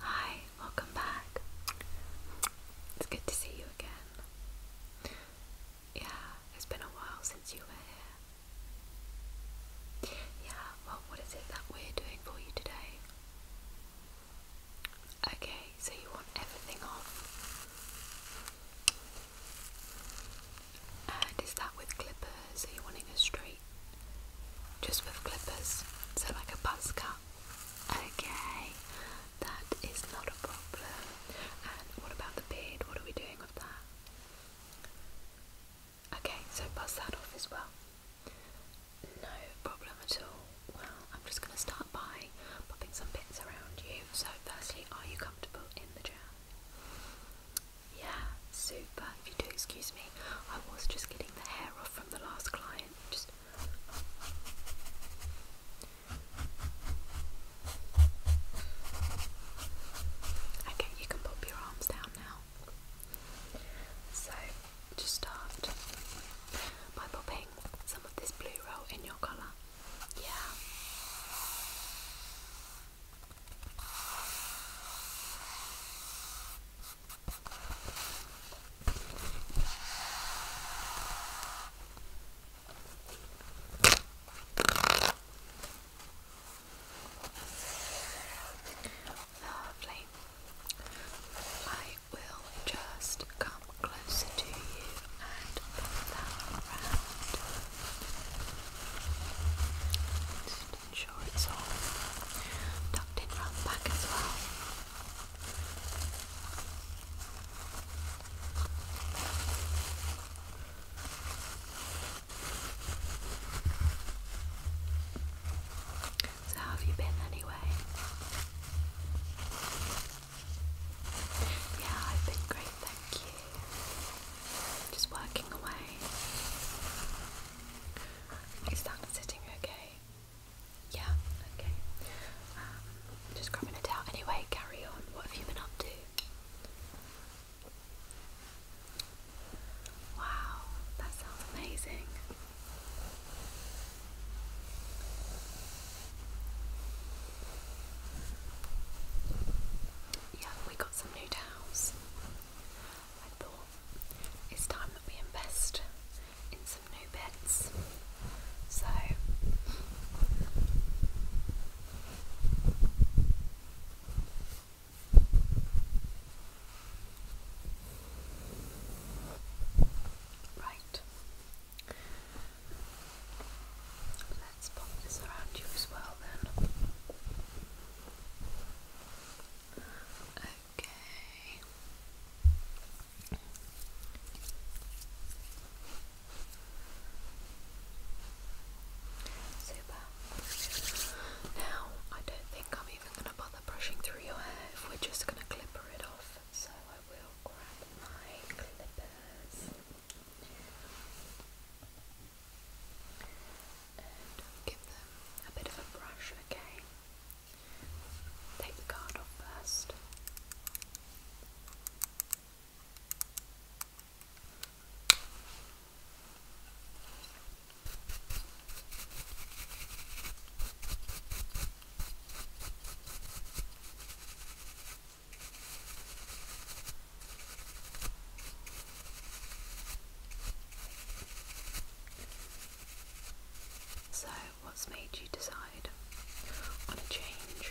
Hi, welcome back. It's good to see you again. Yeah, it's been a while since you were here. Yeah, well, what is it that we're doing for you today? Okay, so you want everything off. And is that with clippers? Are you wanting a straight? Just with clippers? So, like a buzz cut? Okay, that is not a problem. And what about the beard? What are we doing with that? Okay, so buzz that off as well. No problem at all. Well, I'm just going to start by popping some bits around you. So, firstly, are you comfortable in the chair? Yeah, super. If you do excuse me, I was just getting the hair off from the last client. Just. Okay, you can pop your arms down now. So, just start by popping some of this blue roll in your colour. Yeah. Lovely. I will just come closer to you and put that around. Just ensure it's all tucked in round back as well. So, have you been anyway? Yeah, I've been great, thank you. Just working away. Is that sitting okay? Yeah, okay. Um, just grabbing it out. Anyway, carry on. What have you been up to? Wow, that sounds amazing. Yeah, we got some new towels. I thought it's time that we invest in some new beds. So Right. Let's pop this around you as well then. Okay. Super. Now, I don't think I'm even going to bother brushing through your hair if we're just going to clipper it off. So I will grab my clippers and give them a bit of a brush, okay? Take the card off first. So, what's made you decide on a change?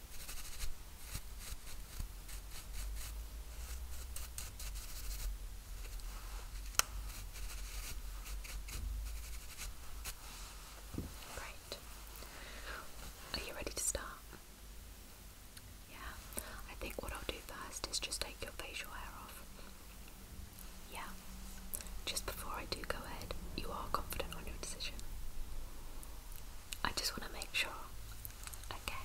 Great. Are you ready to start? Yeah, I think what I'll do first is just take your facial hair off. Yeah, just before I do go ahead, you are confident on your decision. I just want to make sure. Okay,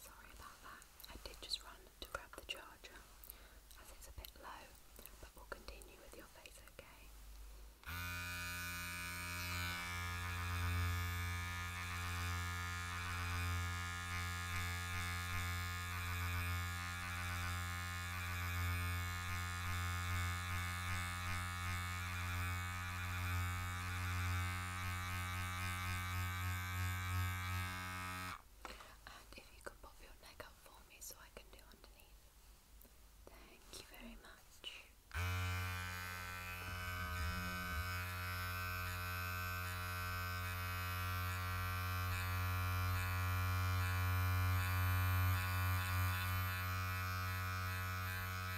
Sorry about that, I did just run to grab the charger as it's a bit low, but we'll continue with your face, okay? And if you could pop your neck up for me so I can do underneath. Thank you very much.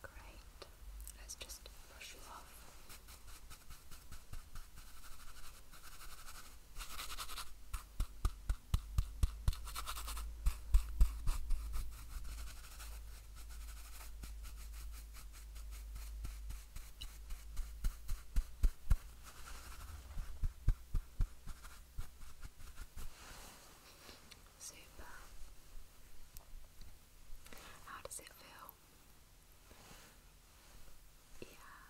Great. Let's just brush you off. Super. How does it feel? Yeah.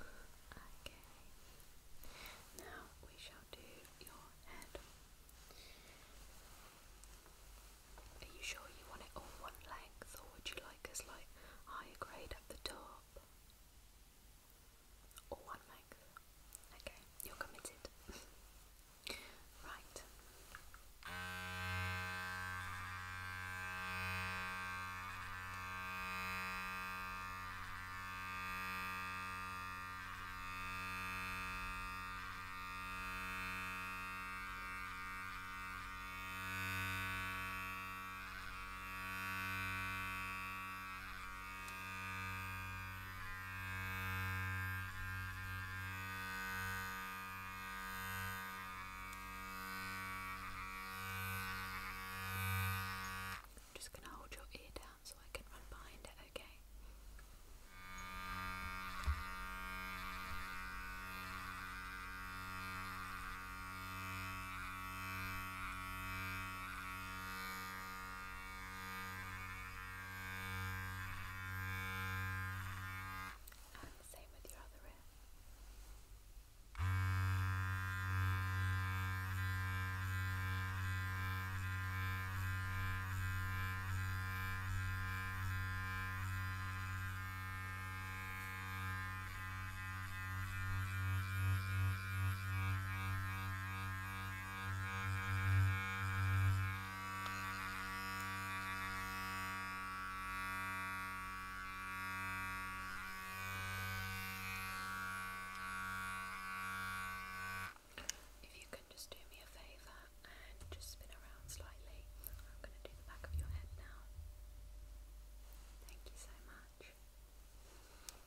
Okay. Now we shall do your head. Are you sure you want it all one length, or would you like us like higher grade at the top? Or one leg. Okay, you're committed. right. I'm just going to hold your ear down so I can run behind it, okay? Okay, and the same with your other ear. Good. If you can just do me a favour and just spin around slightly, I'm going to do the back of your head now. Thank you so much.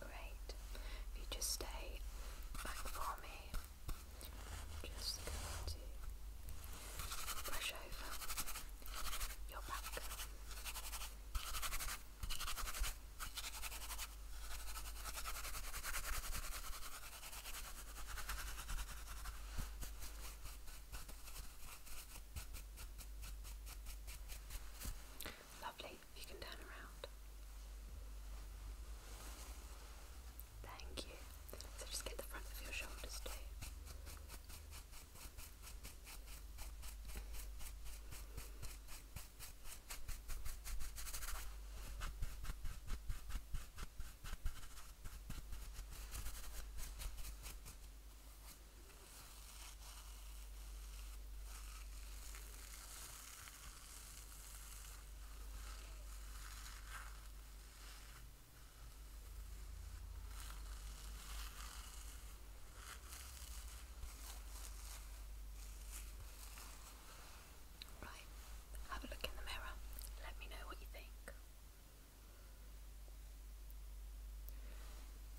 Great. If you just stay back for me, just going to brush over your back. Lovely, you can turn around. Thank you. So just get the front of your shoulders too. Right, have a look in the mirror. Let me know what you think.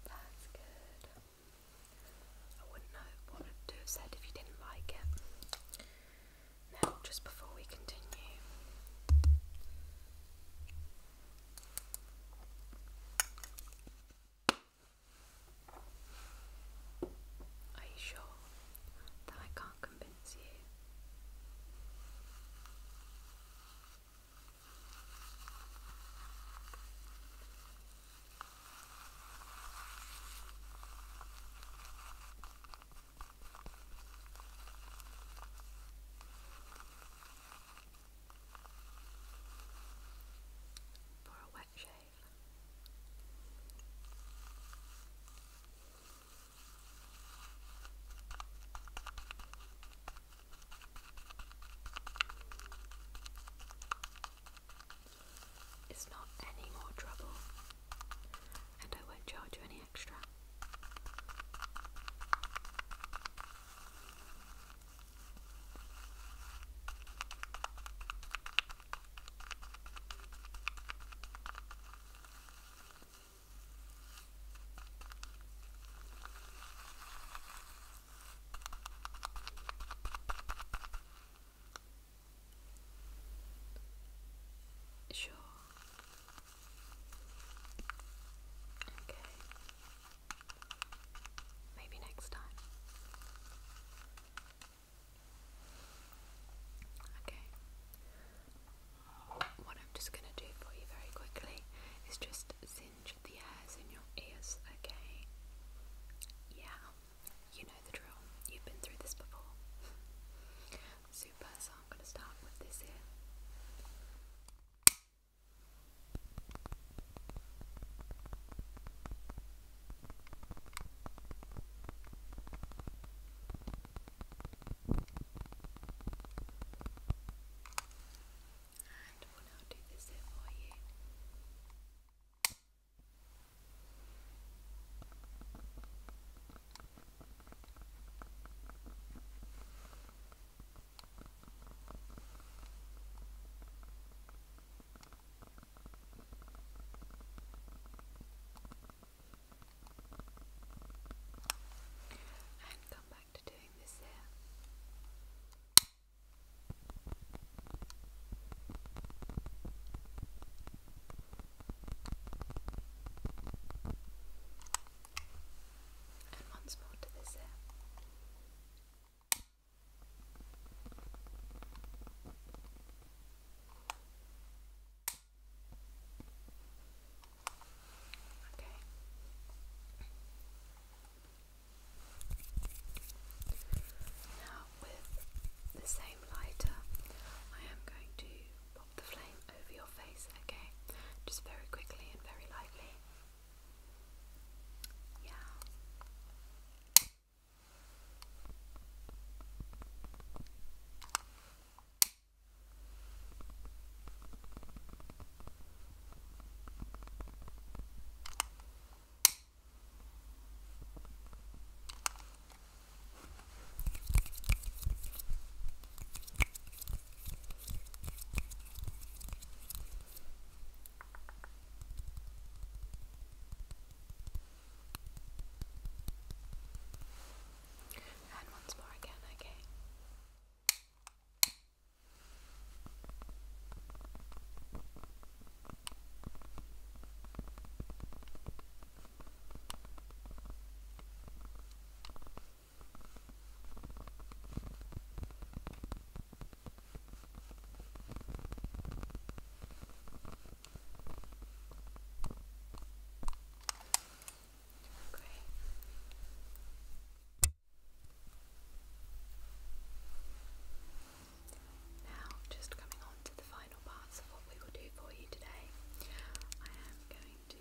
That's good. I wouldn't know what to have said if you didn't like it. Now, just before we continue, are you sure that I can't convince you? for a wet shave. It's not any more trouble, and I won't charge you any anything extra. Sure, Okay. Maybe next time. Okay. What I'm just going to do for you very quickly is just singe the hairs in your ears, okay? Yeah, you know the drill. You've been through this before super, so I'm going to start with this here. And we'll now do this here for you and come back to doing this here. And once more to this end. Okay. Now, with the same lighter, I am going to the flame over your face, okay? Just very quickly and very lightly. Yeah. And once more again, okay. Good. Okay. Now, just coming on to the final final parts of what we will do for you today, I am going to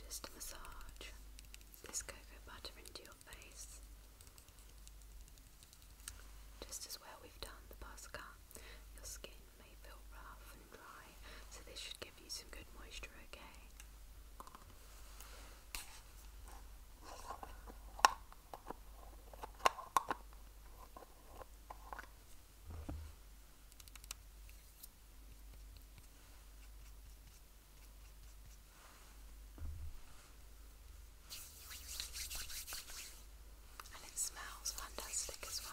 just massage this cocoa butter into your face. Just as well we've done the Pascal, your skin may feel rough and dry, so this should give you some good moisture, okay? And it smells fantastic as well.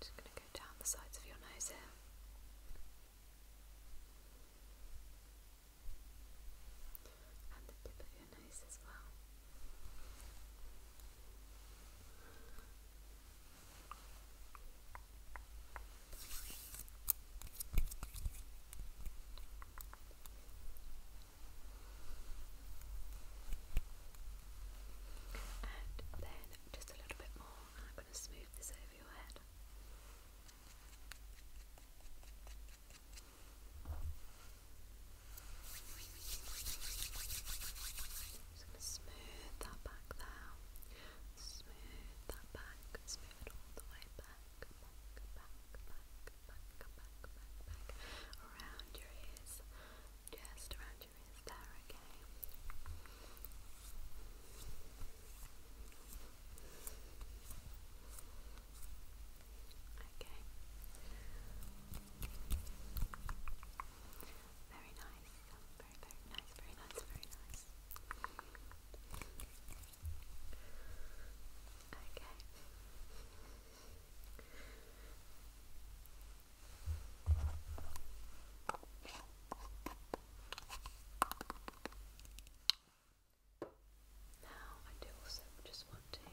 Just going to go down the sides of your nose here. And the tip of your nose as well. And then just a little bit more, and I'm going to smooth this over your head. Just going smooth that back there. Smooth that back. Smooth all the way back, back, back, back, back, back, back, back. Around your ears. Just around your ears there, okay. Okay. Very nice. Very, very nice, very nice, very nice. Okay. Now, I do also just want want to give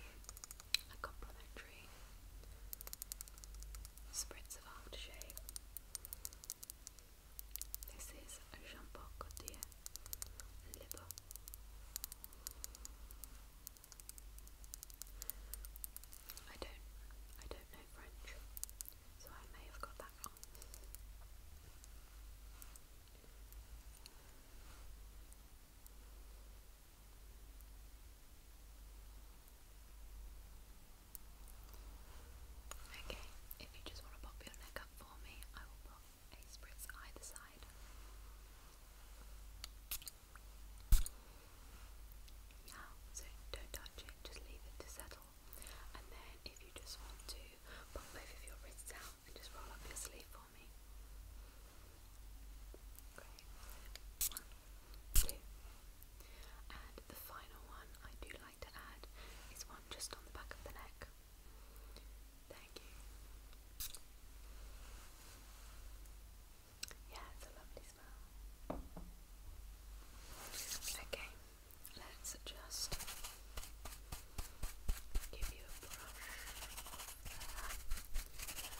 you spritz of aftershave. This is a Jean Paul I don't, I don't know French, so I may have got that wrong. Okay, if you just want to pop your neck up for me, I will pop a spritz either side. Now, so don't touch it, just leave it to settle. And then if you just want to pop both of your wrists out and just roll up your sleeve for the final one I do like to add is one just on the back of the neck. Thank you. Yeah, it's a lovely smell. Okay, let's just give you a brush.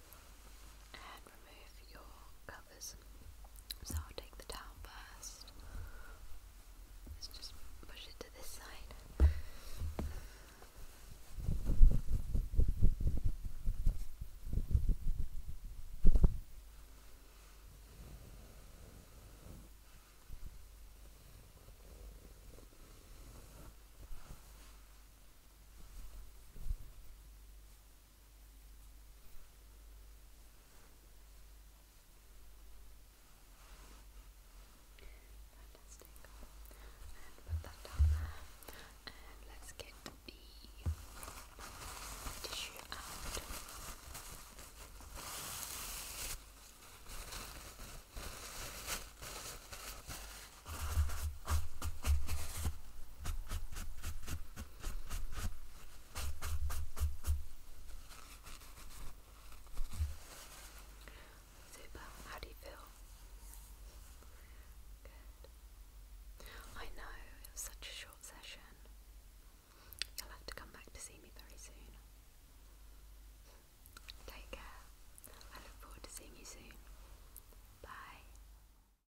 and remove your covers. So I'll take the towel first. Let's just push it to this side. Fantastic. And put that down there. And let's get the tissue out. Okay, Super. How do you feel? Good. I know it was such a short session. You'll have to come back to see me very soon. Take care. I look forward to seeing you soon. Bye.